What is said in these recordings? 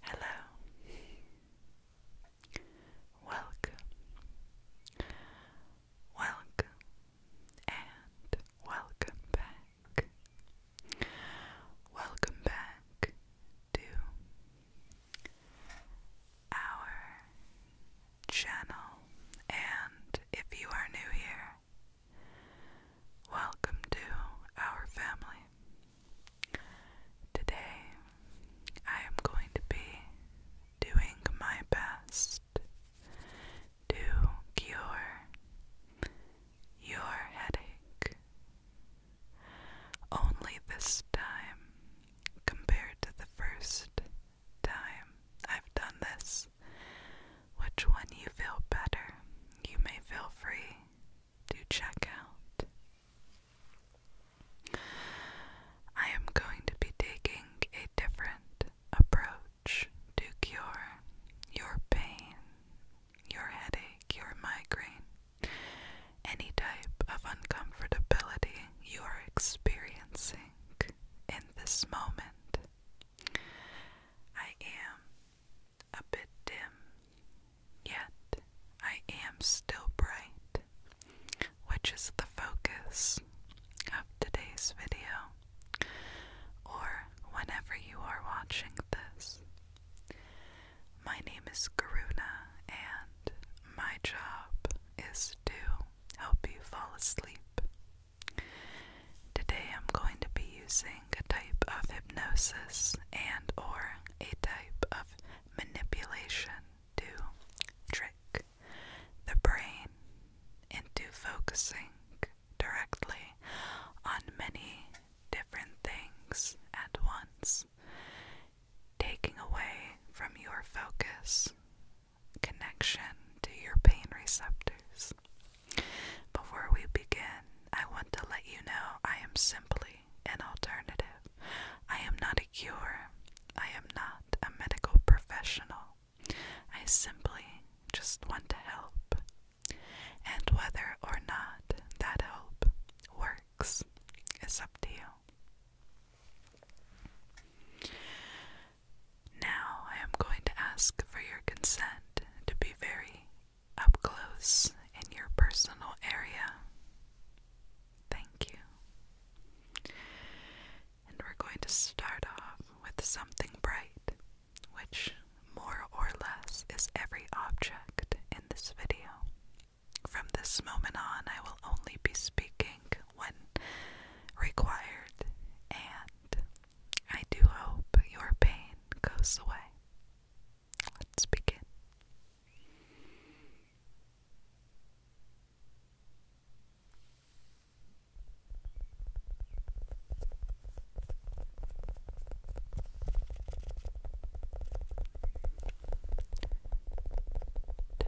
Hello. Welcome. Welcome and welcome back. Welcome back to our channel, and if you are new here, welcome to our family. Today, I am going to be doing my best to cure your headache. Only this time, compared to the first time I've done this. Which one you feel better, you may feel free to check out. I am going to be taking a different approach to cure your pain, your headache, your migraine, any type of uncomfortability you are experiencing in this moment. I am a bit dim, yet I am still bright, which is the focus of today's video, or whenever you are watching this. My name is Karuna, and my job is to help you fall asleep. Today I'm going to be using a type of hypnosis and or a type of manipulation to trick the brain into focusing directly on many different things at once taking away from your focus, connection to your pain receptors. Before we begin, I want to let you know I am simply an alternative. I am not a cure. I am not a medical professional. I simply just want to help. And whether or not that help works is up to you. Now I am going to ask for your consent to be very up close in your personal area. Thank you. And we're going to start off with something bright, which more or less is every object in this video. From this moment on, I will only be speaking when required, and I do hope your pain goes away. Let's begin.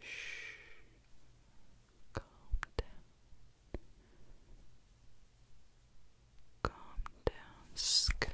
Shh. Calm down. Calm down. Sk.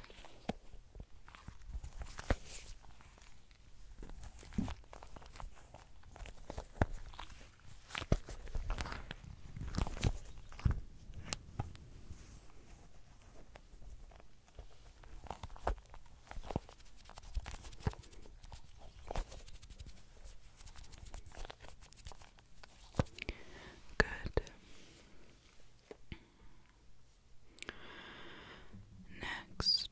Good. Next,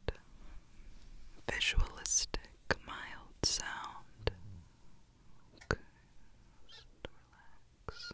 visualistic mild sound. Okay, just relax.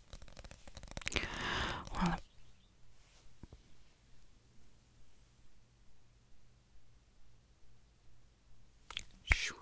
Well, shoo. What?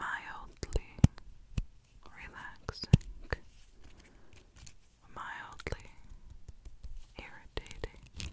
Mildly relaxing, mildly irritating.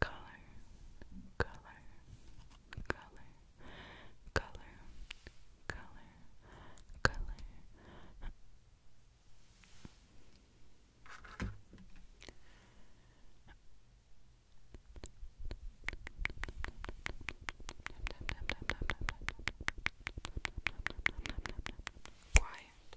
Color, color, color, color, color, color. Quiet,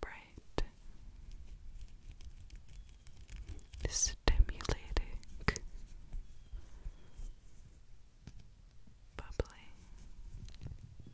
Bright, stimulating, bubbly,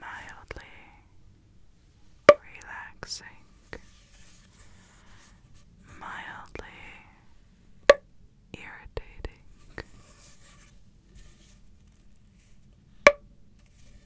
Mildly relaxing, mildly irritating.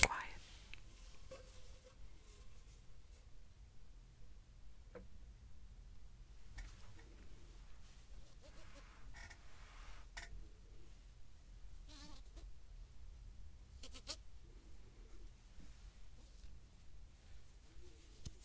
Quiet.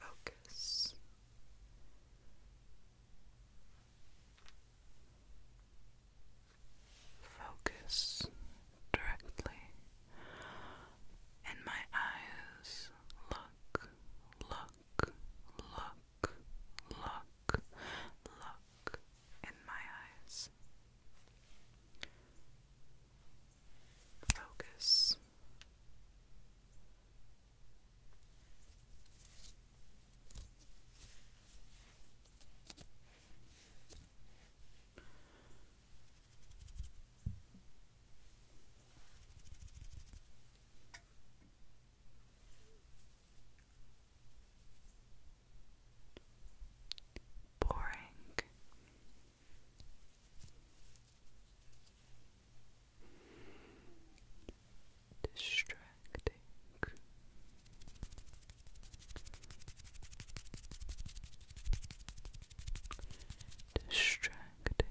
focus. Focus directly in my eyes. Look, look, look, look, look in my eyes. Focus. Boring distracting. Distracting. Distracting.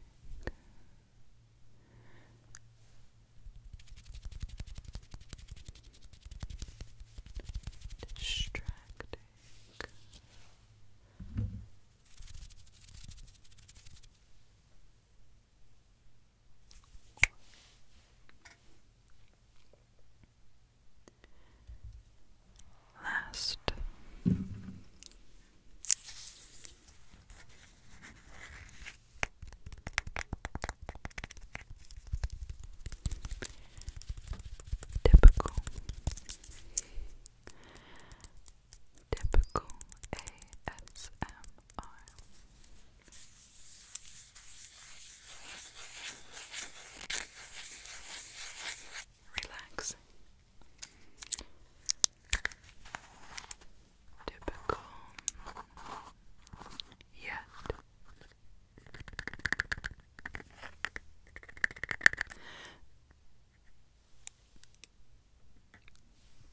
Last. Typical. Typical ASMR. Relaxing. Typical yet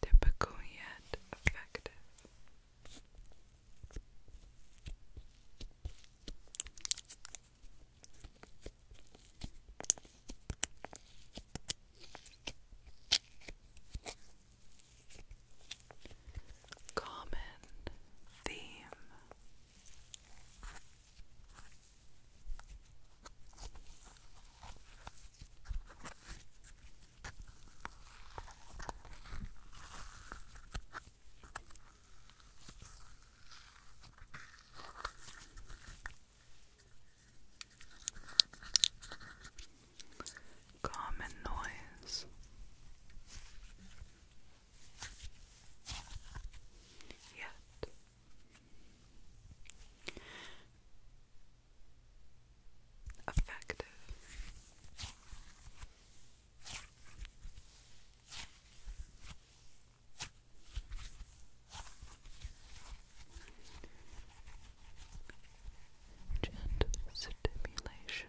Typical yet effective. Common theme Common noise. Yet Effective. Gentle stimulation.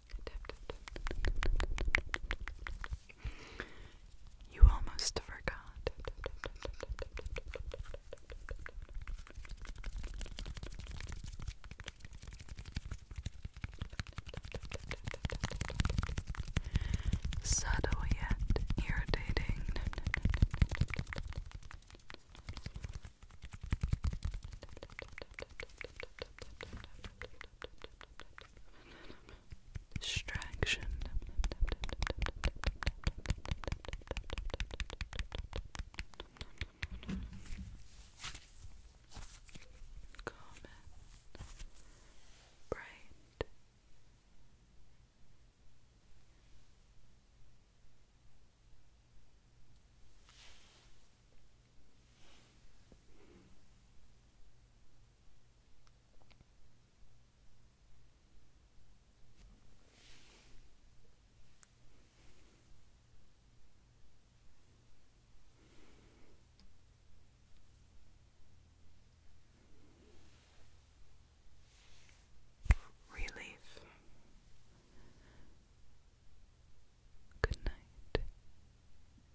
You almost forgot. Subtle yet irritating distraction. Common, bright, Relief. Good night.